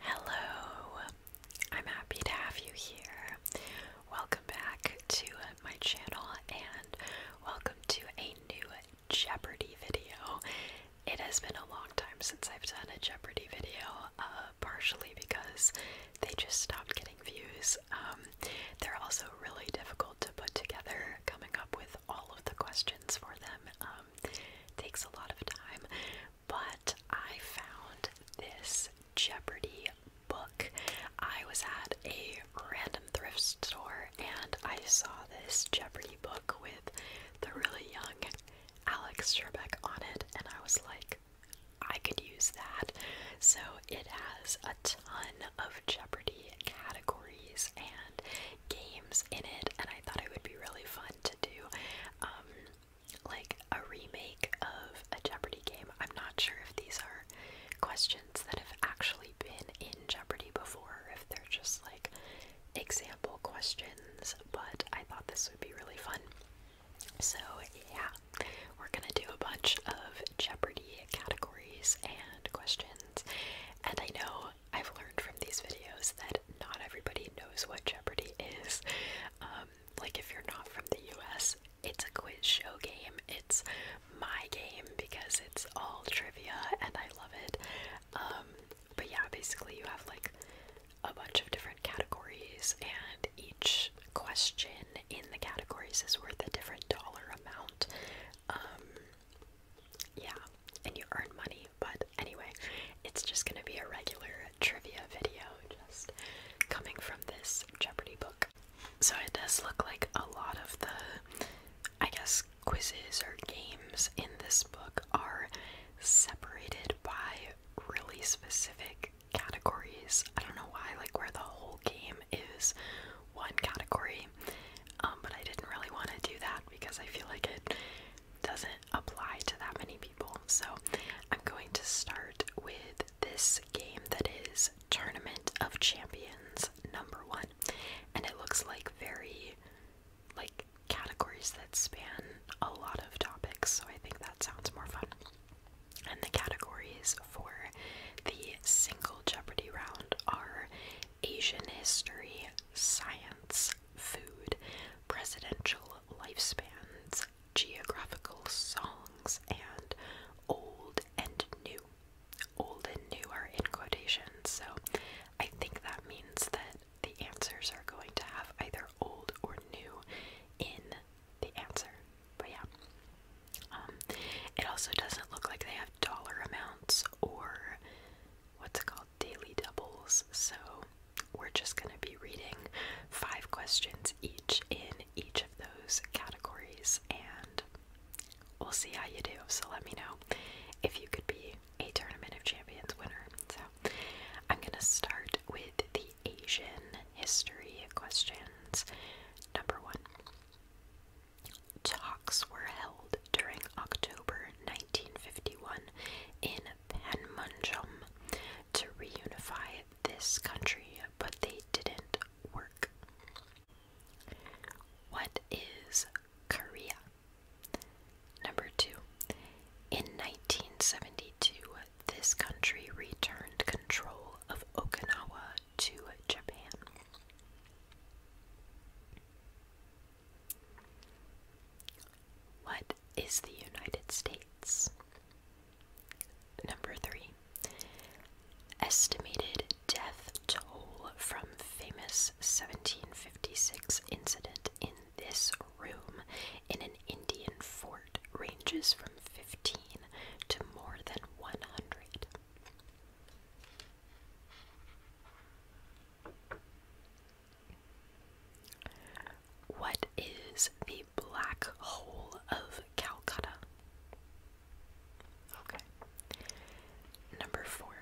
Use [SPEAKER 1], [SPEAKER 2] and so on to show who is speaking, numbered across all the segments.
[SPEAKER 1] Hello, I'm happy to have you here. Welcome back to uh, my channel and welcome to a new Jeopardy video. It has been a long time since I've done a Jeopardy video, uh, partially because they just stopped getting views. Um, they're also really difficult to put together, coming up with all of the questions for them um, takes a lot of time but I found this Jeopardy book. I was at a random thrift store and I saw this Jeopardy book with the really young Alex Trebek on it, and I was like, I could use that. So it has a ton of Jeopardy categories and games in it, and I thought it would be really fun to do. Um, like a remake of a Jeopardy game. I'm not sure if these are questions that have actually been in Jeopardy before, if they're just like example questions, but I thought this would be really fun. So, yeah, we're gonna do a bunch of Jeopardy categories and questions. And I know I've learned from these videos that not everybody knows what Jeopardy is, um, like if you're not from the US, it's a quiz show game. It's my game because it's all trivia and I love it. Um, but yeah, basically, you have like a bunch of different categories, and each question in the categories is worth a different dollar amount. Um, yeah, and you earn money but anyway, it's just going to be a regular trivia video just coming from this Jeopardy book. So it does look like a lot of the, I guess, quizzes or games in this book are separated by really specific categories. I don't know why, like where the whole game is one category, um, but I didn't really want to do that because I feel like it doesn't apply to that many people. So I'm going to start with this game that is Tournament of Champions number one. And it looks like very like categories that span a lot of topics, so I think that sounds more fun. And the categories for the single Jeopardy round are Asian history, science, food, presidential lifespans, geographical songs, and old and new. Old and new are in quotations, so I think that means that the answers are going to have either old or new in the answer. But yeah. Um, it also doesn't look like they have dollar amounts or what's it called? Daily Doubles, so we're just going to be reading five questions each in each of those categories, and we'll see how you do. So let me know if you could be a Tournament of Champions winner. So I'm going to start with the Asian history questions. Number one. Talks were held during October 1951 in Panmunjom to reunify this country, but they didn't work. What is Korea? Number two. In 1972, this country returned control of Okinawa to Japan. What is the United States? Number three. Estimated death toll from famous 1756 incident in this room in an Indian fort ranges from 15 to more than 100. What is the black hole of Calcutta? Okay. Number four.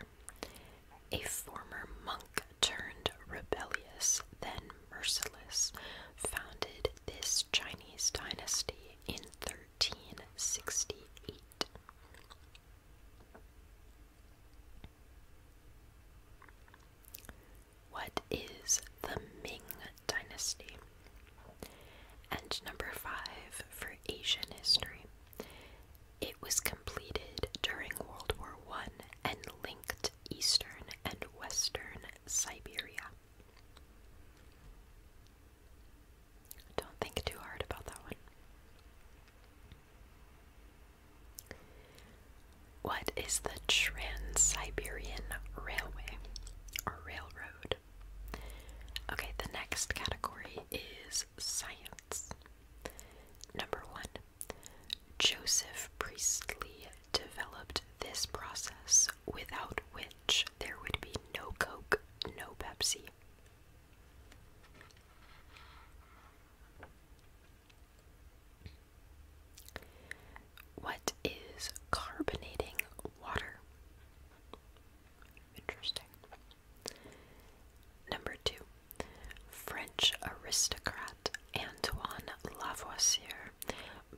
[SPEAKER 1] A former monk turned rebellious, then merciless, founded this Chinese dynasty in 1368. What is the Ming Dynasty? And number five for Asian history. It was completed during World War One and linked Eastern and Western Siberia. Don't think too hard about that one. What is the Trans Siberian Railway or Railroad? Okay, the next category is science. Number one, Joseph Priestley developed this process without which there would be no Coke, no Pepsi. What is carbonating water? Interesting. Number two, French aristocrat Antoine Lavoisier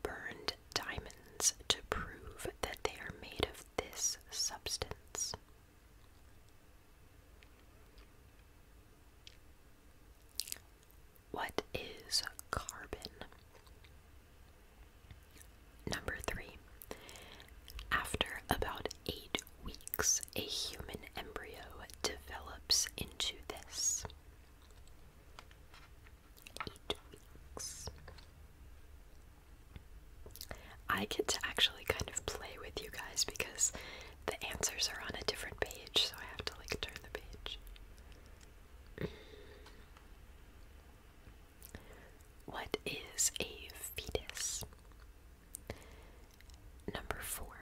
[SPEAKER 1] burned diamonds to prove that they are made of this substance. What is carbon? Number three. After about eight weeks, a human embryo develops into this. Eight weeks. I get to actually kind of play with you guys because the answers are on a different page, so I have to like turn the page. What is a fetus? Number four,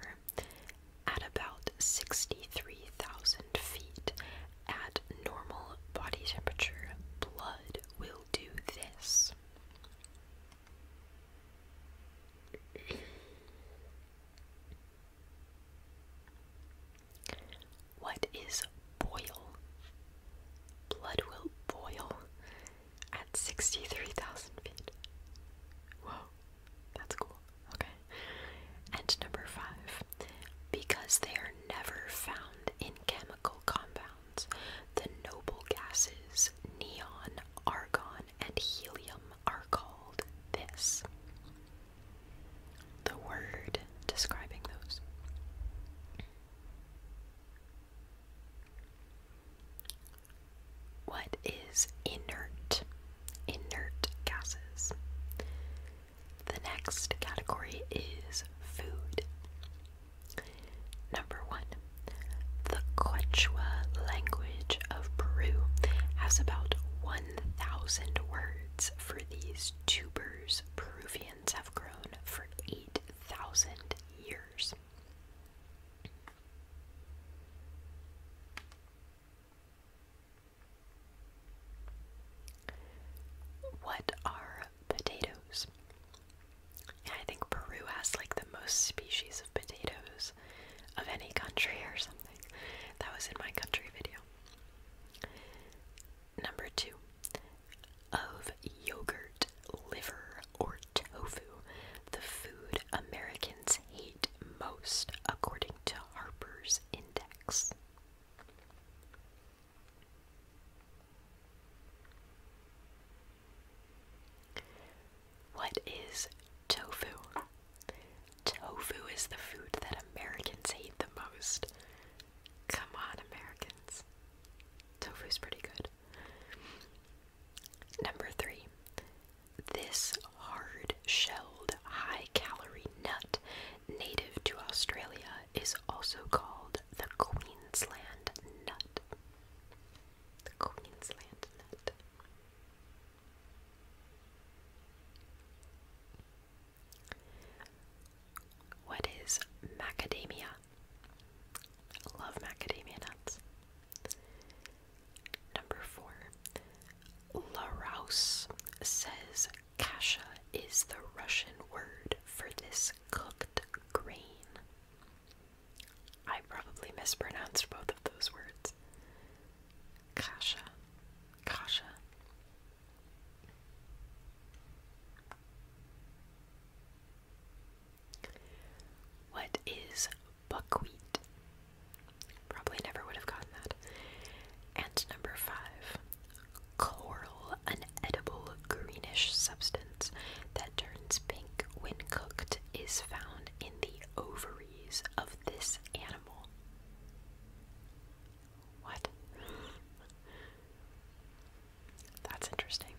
[SPEAKER 1] at about 63,000 feet at normal body temperature, blood will do this. What is boil? Blood will boil at 63,000 feet. Whoa, that's cool. Okay. And number five, because they are never found in chemical compounds, the noble gases neon, argon, and helium are called this. The word describing those. What is inert? Inert gases. The next category is food. Number one, the Quechua language of Peru has about 1,000 words for these tubers Peruvians have grown for 8,000 years. What are potatoes? I think Peru has like the most species of potatoes of any country or something. That was in my country video. Number two, of yogurt, liver, or tofu, the food Americans hate most, according to Harper's Index. What is tofu? Tofu is the food that Americans hate the most. Come on, Americans. Tofu's pretty good. Number three. This hard shelled, high calorie nut native to Australia is also called the Queensland nut the Queensland nut. What is macadamia? love macadamia nuts. Number four, La Rouse says kasha is the Russian word for this cooked grain. I probably mispronounced both of those words. Kasha. Kasha. What is buckwheat? Probably never would have gotten that. And number five, coral, an edible greenish substance that turns pink when cooked, is found in the ovaries of this animal. What? That's interesting.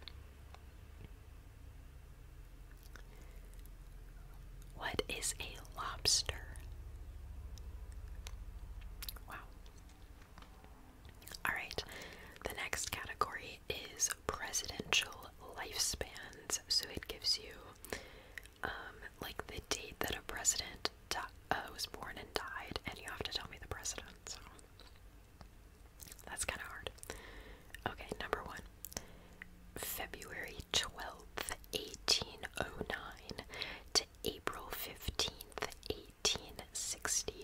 [SPEAKER 1] What is a lobster? Wow. Alright, the next category is presidential actual lifespans. So it gives you um, like the date that a president uh, was born and died, and you have to tell me the president. So that's kind of hard. Okay, number one February 12th, 1809 to April 15th, 1865.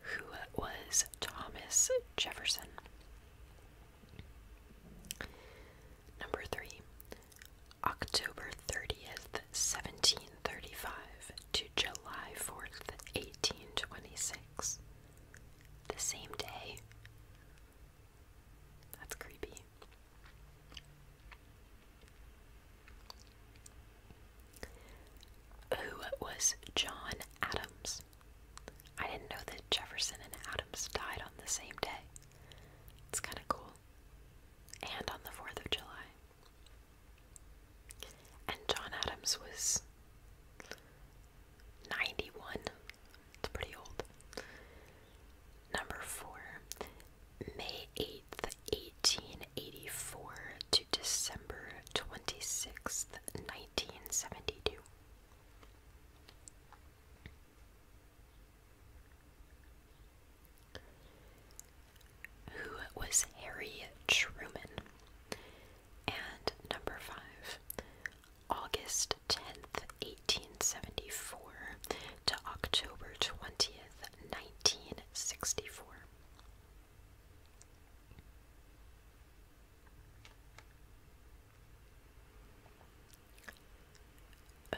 [SPEAKER 1] Who was Thomas Jefferson? Number three, October 30th, 1735 to July 4th, 1826. The same day, that's creepy. Who was John Adams? I didn't know that Jefferson and Adams died on the same day. It's kind of cool. And on the 4th of July. And John Adams was 91. It's pretty old. Number 4. May 8th, 1884 to December 26th, 1972. Who was Harry Truman? And number five, August 10th, 1874 to October 20th, 1964.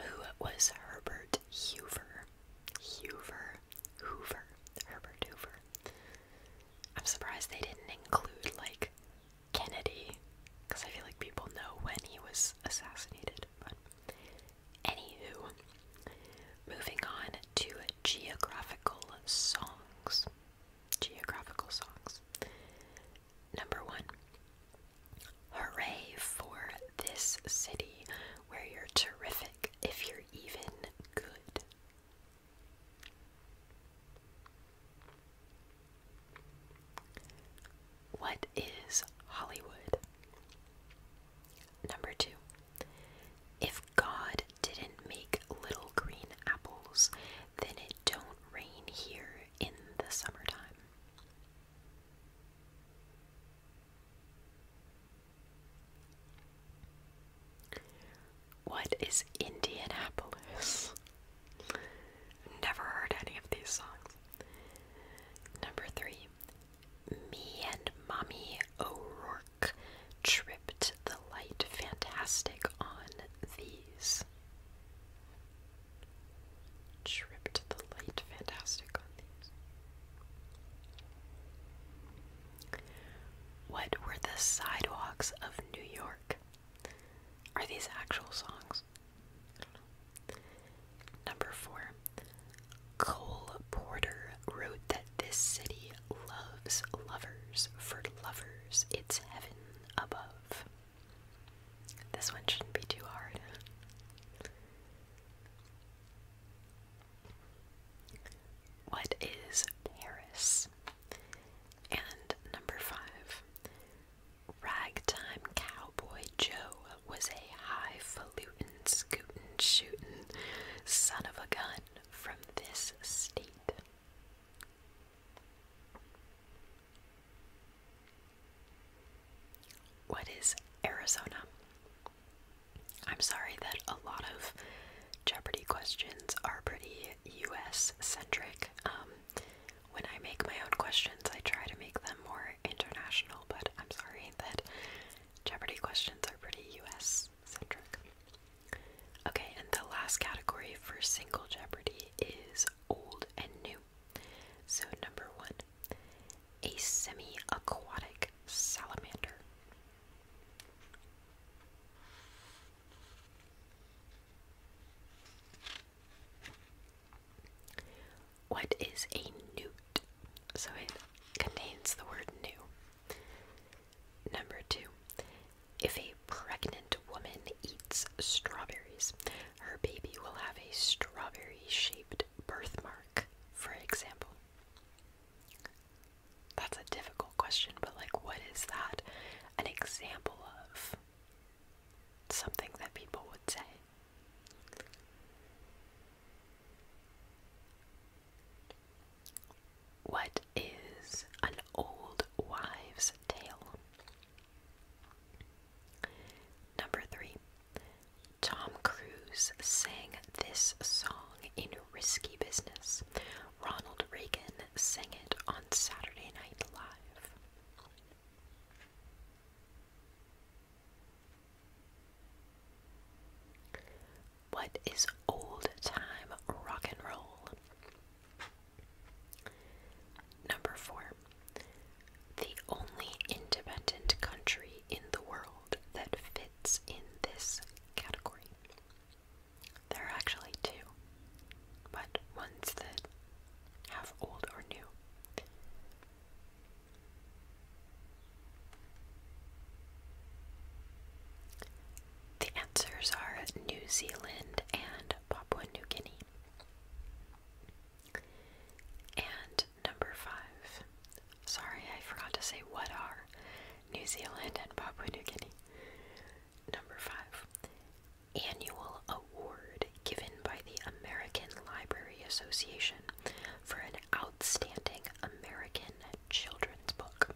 [SPEAKER 1] Who was Herbert Hoover? Hoover, Hoover, Herbert Hoover. I'm surprised they didn't include like Kennedy, because I feel like people know when he was assassinated. But anywho, moving on to geographical songs. Geographical songs. Number one. Hooray for this city where you're terrific if you're even good. What is Hollywood? Number two. If God didn't make little green apples, then it don't rain here in the summertime. What is Indianapolis? Never heard any of these songs. Number three, me and Mommy O'Rourke tripped the light fantastic on these. Tripped the light fantastic on these. What were the sidewalks of New York? Are these actual songs? Number four. Cole Porter wrote that this city loves lovers. For lovers, it's heaven above. This one shouldn't be too hard. What is Paris? And number five. Ragtime Cowboy Joe was a highfalutin, scootin', shootin' son of a gun from this state. What is Arizona? I'm sorry that a lot of Jeopardy questions are pretty US centric. Um, when I make my own questions, I try to make them more international, but I'm sorry that Jeopardy questions are pretty US centric. Okay, and the last category for single Jeopardy is old and new. So, number one, a semi aquatic salamander. What is a newt? So it contains the word new. Number two, if a pregnant woman eats strawberries, her baby will have a strawberry shaped birthmark, for example. That's a difficult question, but like, what is that an example of? something that people would say. What is an old wives' tale? Number three, Tom Cruise sang this song in Risky Business. Ronald Reagan sang it on Saturday Night Live. What is old time rock and roll? Number four, the only independent country in the world that fits in this category. There are actually two, but ones that have old or new. The answers are New Zealand and Papua New Guinea. And number five. Sorry, I forgot to say what are New Zealand and Papua New Guinea. Number five annual award given by the American Library Association for an outstanding American children's book.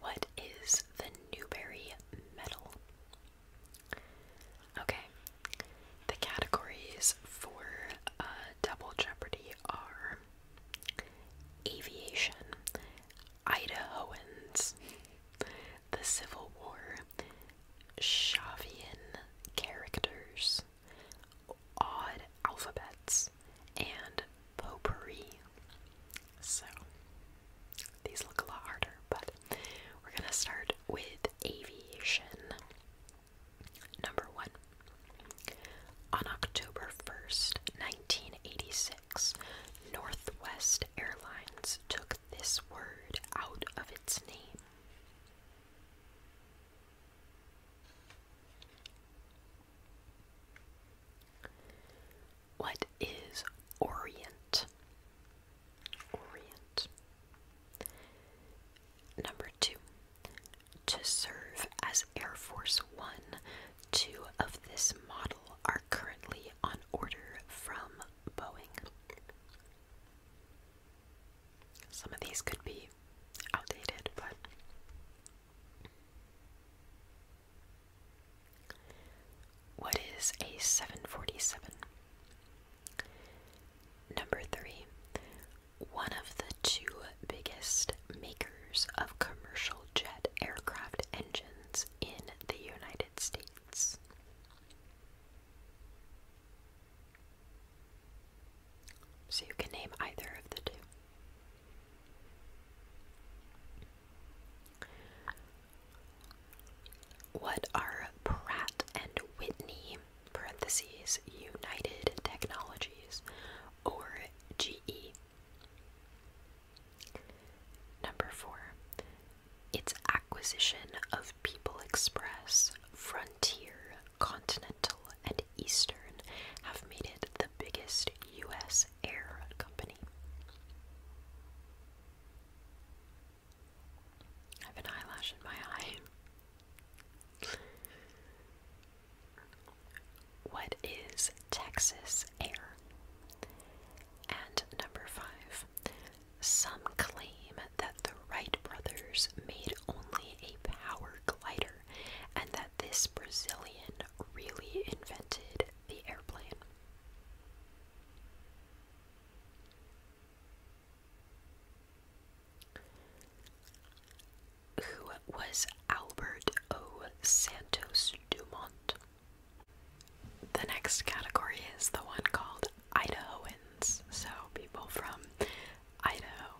[SPEAKER 1] What is the Newbery Medal? Okay, the categories for uh, Double Jeopardy are aviation, Idahoans, the Civil War, Shavian characters, odd alphabets, and potpourri. So these look a lot harder, but we're gonna start with aviation. Number one. On October 1st, 1986, Northwest Airlines took this word out of its name. What is Orient? Orient. Number two, to serve as Air Force One, two of this model are currently on order from Boeing. Some of these could be outdated, but. What is a 747? Number three, one of the two biggest makers of commercial jet aircraft engines in the United States. So you can name either of the two. What are Pratt and Whitney parentheses United Technologies or GE. Number four, its acquisition of People Express, Frontier, Continental, and Eastern have made it the biggest U.S. air company. I have an eyelash in my eye. What is Texas air? And number five, some claim that the Wright brothers made only a power glider and that this Brazilian really invented the airplane. Who was Albert O. Santos Dumont? The next category is the one called Idahoans, so people from Idaho.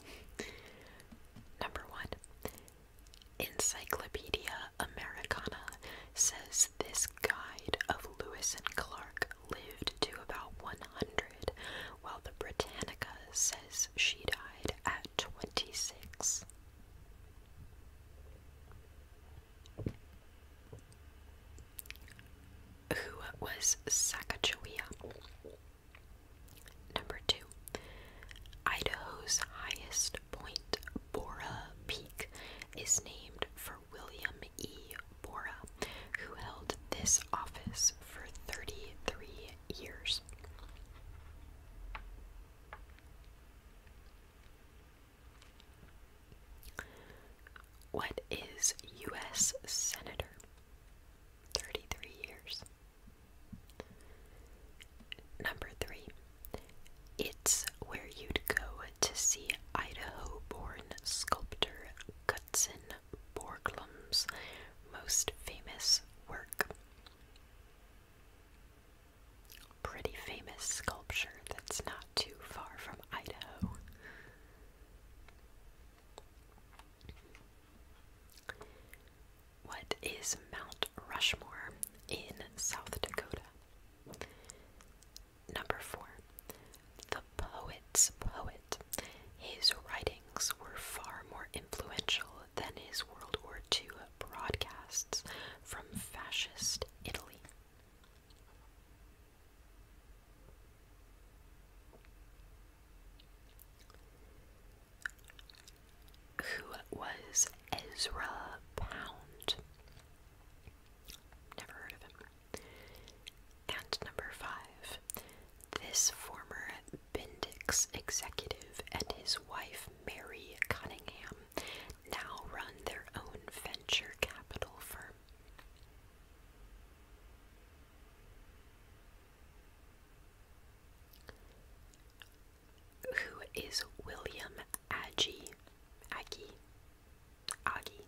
[SPEAKER 1] Number one, Encyclopedia Americana says this guide of Lewis and Clark lived to about 100, while the Britannica says she died at 26. Who was Sacagawea? Number two, Idaho's highest point, Bora Peak, is named for William E. Bora, who held this office for 33 years. What is U.S. Senator? 33 years. Number three, it's where you'd go to see Idaho born sculptor Cutson. Borglum's most famous work. Pretty famous sculpture that's not too far from Idaho. What is Mount Rushmore in South Dakota? Number four, the poet's poet. His writings were far more influential than his World War II broadcasts from fascist Italy. Who was Ezra Pound? Never heard of him. And number five, this former Bendix executive and his wife Mary Cunningham now run their own venture capital firm. Who is William Aggie? Aggie? Aggie?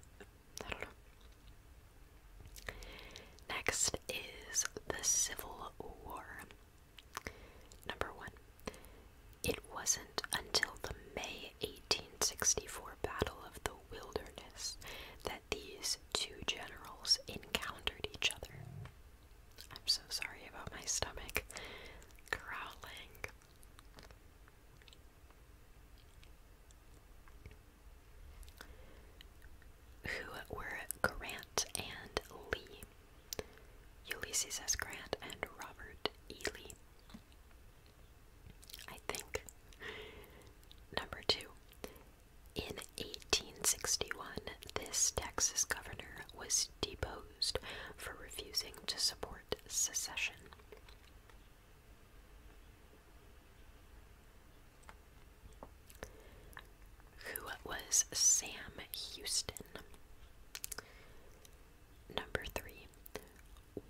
[SPEAKER 1] Next is the Civil War. Number one, it wasn't until the May 1864 Battle of the Wilderness that these two generals encountered each other. I'm so sorry about my stomach growling who were Grant and Lee, Ulysses S. Grant and Robert E. Lee. I think. Number two. In 1861, this Texas governor was deposed for refusing to support secession. Who was Sam Houston? Number three,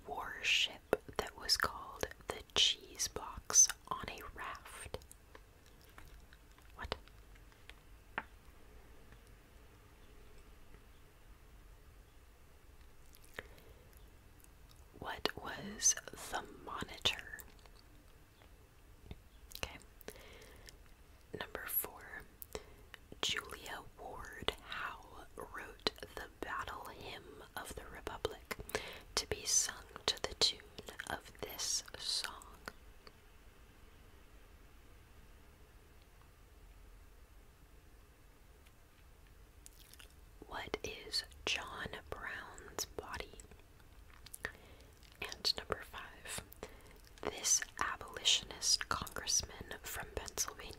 [SPEAKER 1] warship that was called the cheese box on a raft. What? what was the monitor? Okay. Number four, Julia Ward Howe wrote the Battle Hymn of the Republic to be sung to the tune of this song. What is John Brown's body? And number five, this abolitionist congressman from Pennsylvania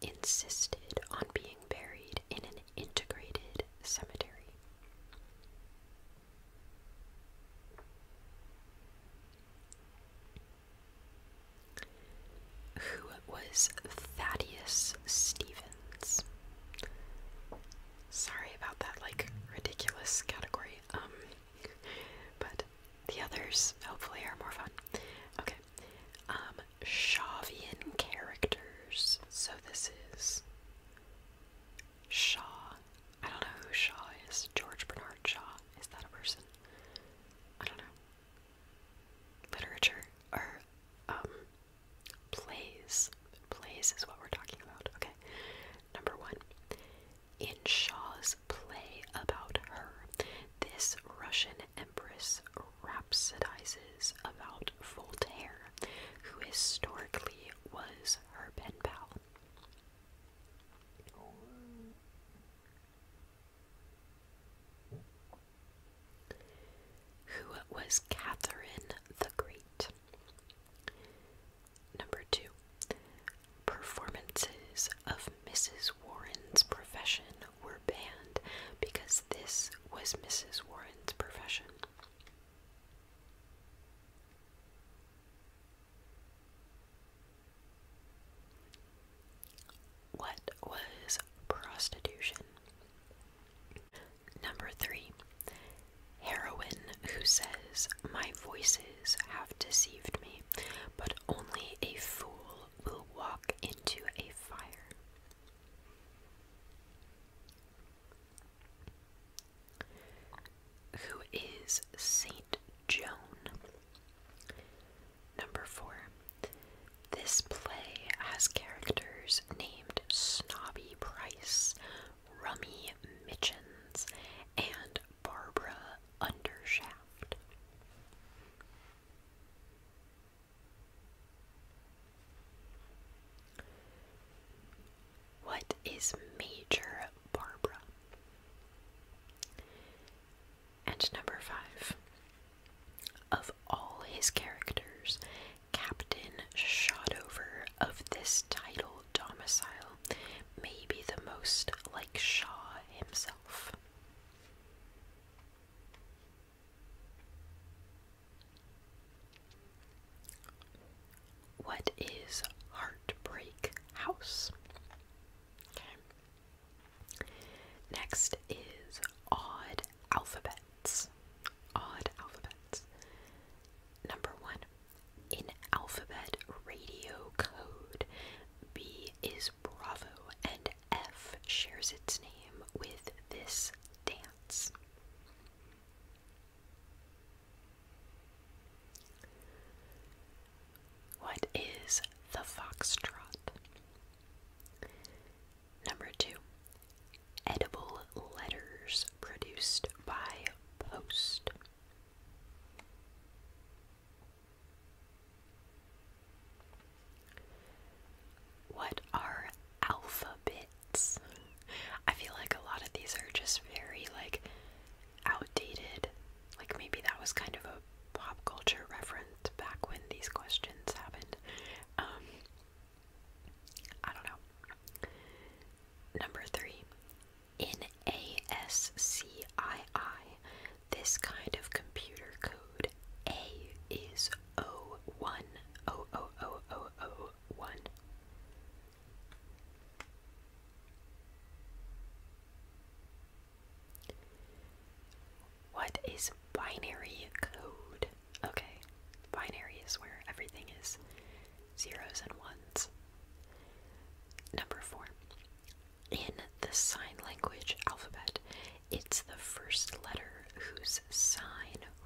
[SPEAKER 1] insisted on being buried in an integrated cemetery. Who was Thaddeus Stevens? Sorry about that, like, ridiculous category. Um, but the others hopefully are more fun. Okay. Um, Shavian characters. So this is Shaw. I don't know who Shaw is. George Bernard Shaw. Is that a person? I don't know. Literature or um Plays. Plays is what we're talking about. Okay. Number one. In Shaw's play about her, this Russian empress rhapsodizes about Voltaire, who historically was her pen pal. Who was Catherine the Great? Number two, performances of Mrs. Warren's profession were banned because this was Mrs. Warren's profession. What was prostitution? Number three, heroine who says, My voices have deceived me, but only a fool will walk into a fire. Who is Saint Joan? Number four, this play has characters named Snobby Price, Rummy Mitchens, and Barbara Undershaft. What is Major Barbara? And number five, of all his characters, Captain Shotover of this title domicile may be the most like Shaw himself. What is Heartbreak House? Next is Odd Alphabet. Odd alphabets. Number one, in alphabet radio code, B is Bravo and F shares its name with this dance. What is the foxtrot? Number two, edible letters produced by post. What are alphabets? I feel like a lot of these are just very like outdated. Like maybe that was kind of a pop culture reference back when these questions happened. Um, I don't know. Number three, in ASCII, this kind of computer code A is O one O O O O O one. What is binary code? Okay, binary is where everything is zeros and ones. Number four. In the sign language alphabet, it's the first letter whose sign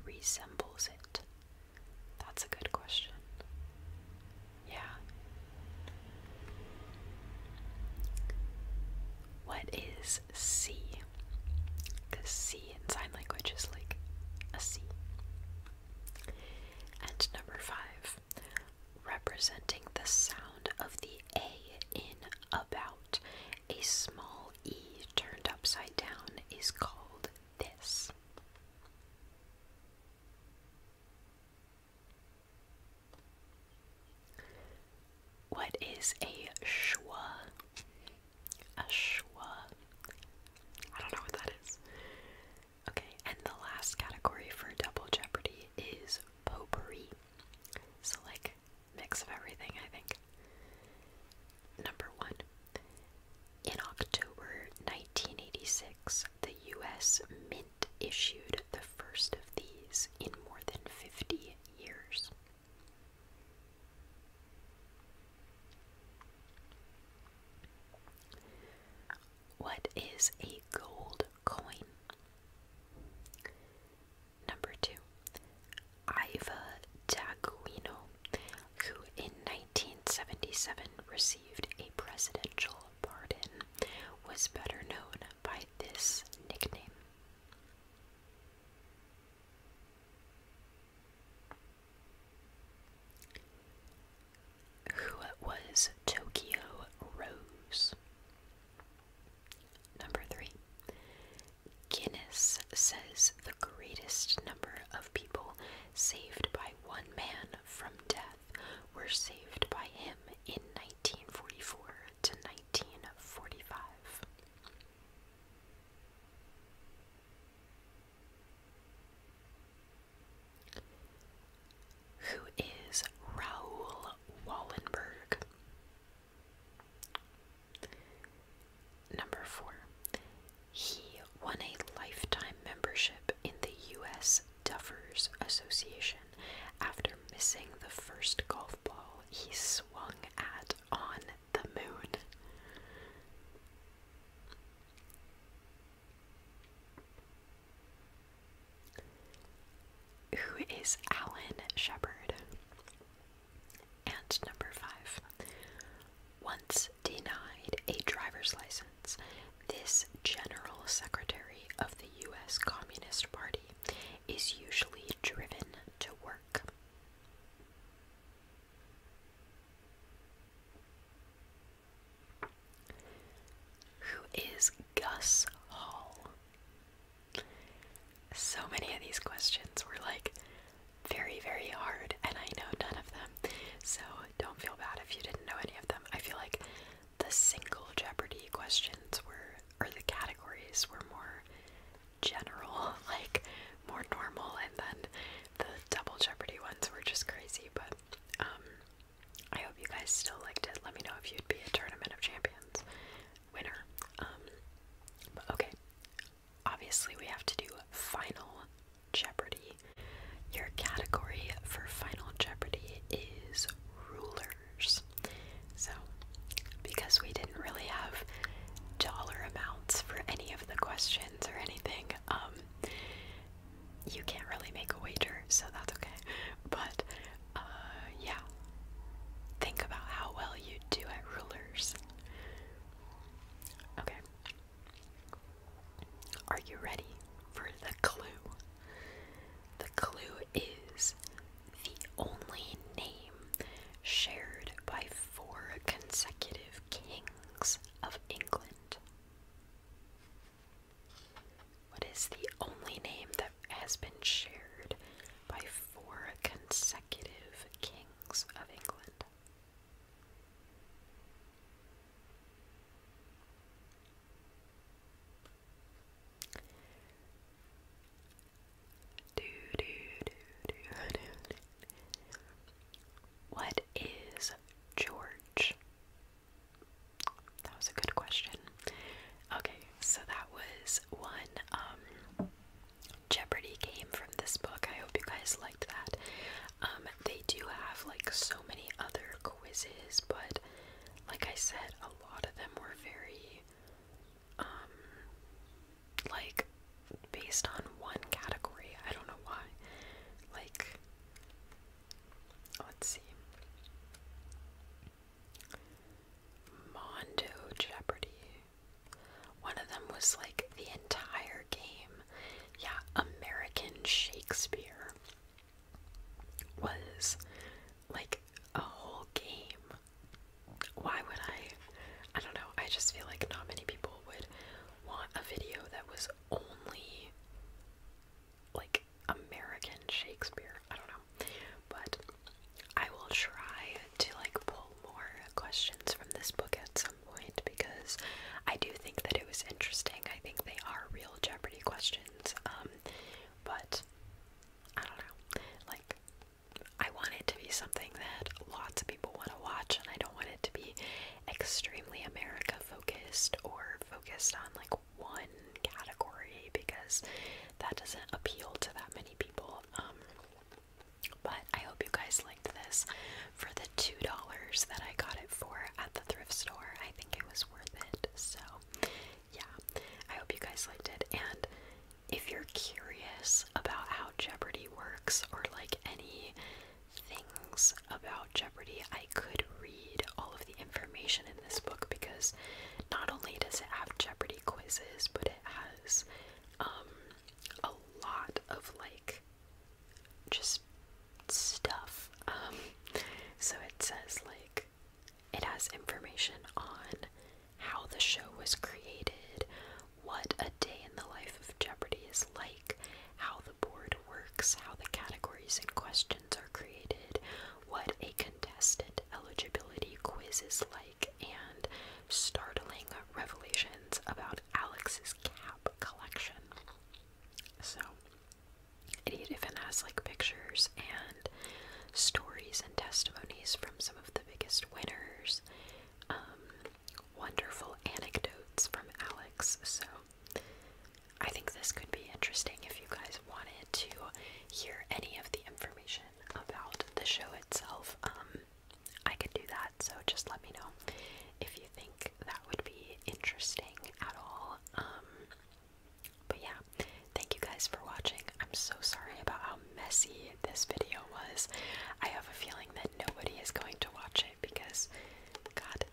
[SPEAKER 1] resembles it. That's a good question. Yeah. What is C? Because C in sign language is like a C. And number five, representing the sound of the A in about. A small E turned upside down is called this. What is a schwa? Ashwa. I don't know what that is. Okay, and the last category for Double Jeopardy is potpourri. So, like, mix of everything, I think. Number one. In October 1986, the US Mint issued the first of these in more than 50 years. What is a gold coin? Number two, Iva Daguino, who in 1977 received a presidential pardon, was better known by this nickname. Who was Tokyo Rose? Number three. Guinness says the greatest number of people saved by one man from death were saved by him in 1944 to 1945. Who is Raoul Wallenberg? Number four. He won a lifetime membership in the U.S. Duffers Association after missing the first golf ball he swung at on the moon. Who is Alan Shepard? And number five. Once denied a driver's license, this General Secretary of the U.S. Communist Party is usually driven to work. Who is Gus Hall? So many of these questions were like very, very hard, and I know none of them. So don't feel bad if you didn't know any of them. I feel like the single Jeopardy questions were, or the categories were more general, like more normal, and then the double jeopardy ones were just crazy. But um, I hope you guys still liked it. Let me know if you'd be a tournament of champions winner. Um, okay, obviously we have to do final jeopardy. Your category for final jeopardy is rulers. So, because we didn't really have dollar amounts for any of the questions or anything, um, you can't really make a wager, so that's okay. But, uh, yeah. Think about how well you do at rulers. Okay. Are you ready for the clue? The clue is the only name shared by four consecutive kings of England. What is the only name that has been shared by four consecutive kings of England? Do, do, do, do, do, What is George? That was a good question. Okay, so that was one um Jeopardy game from this book. I hope you guys liked that. Um they do have like so many other quizzes, but like I said, a lot of them were very um, like based on one category. I don't know why. Like, let's see. Mondo Jeopardy. One of them was like the entire game. Yeah, American Shakespeare was like a whole game why would I? I don't know. I just feel like not many people would want a video that was only like American Shakespeare. I don't know. But I will try to like pull more questions from this book at some point because I do think that it was interesting. I think they are real Jeopardy questions. Um but I don't know. Like I want it to be something that lots of people want to watch, and I don't want it to be extremely America focused or focused on like one category because that doesn't appeal to that many people. Um, but I hope you guys liked this. For the $2 that I got it for at the thrift store, I think it was worth it. So, yeah, I hope you guys liked it. And if you're curious about how Jeopardy works or like any things about Jeopardy, I could read all of the information in this book because not only does it have Jeopardy quizzes, but it has um, a lot of like just stuff. Um, so it says like it has information on how the show was created, what a day in the life of Jeopardy is like, how the board works, how the categories and questions are created, what a contestant eligibility quiz is like, and startling revelations about Alex's cap collection. So, it even has like pictures and stories and testimonies from some of the biggest winners, um, wonderful anecdotes from Alex. So I think this could be interesting if you guys wanted to hear any of the information about the show itself. Um, I could do that, so just let me know if you think that would be interesting at all. Um, but yeah, Thank you guys for watching. I'm so sorry about how messy this video was. I have a feeling that nobody is going to watch it because got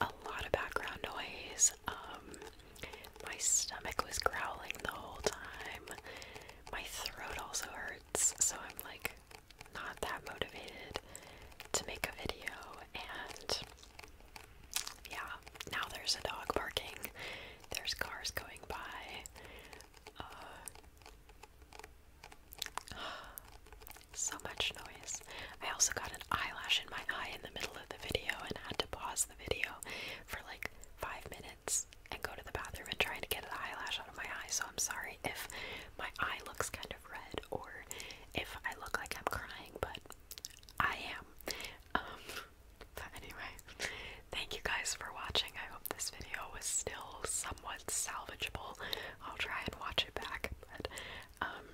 [SPEAKER 1] a lot of background noise. Um, my stomach was growling the whole time. My throat also hurts, so I'm like not that motivated to make a video and yeah, now there's a dog barking. There's cars going by. Uh, so much noise. I also got an eyelash in my eye in the middle of the video and had to pause the video for like five minutes and go to the bathroom and try to get the eyelash out of my eye. So I'm sorry if my eye looks kind of red or if I look like I'm crying, but I am. Um, anyway, thank you guys for watching. I hope this video was still somewhat salvageable. I'll try and watch it back, but um,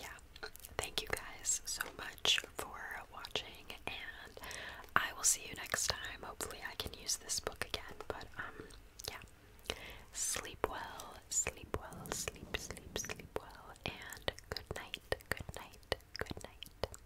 [SPEAKER 1] yeah. Thank you guys so much for watching, and I will see you next time. Hopefully, I can use this book again, but um, yeah. Sleep well, sleep well, sleep, sleep, sleep well, and good night, good night, good night.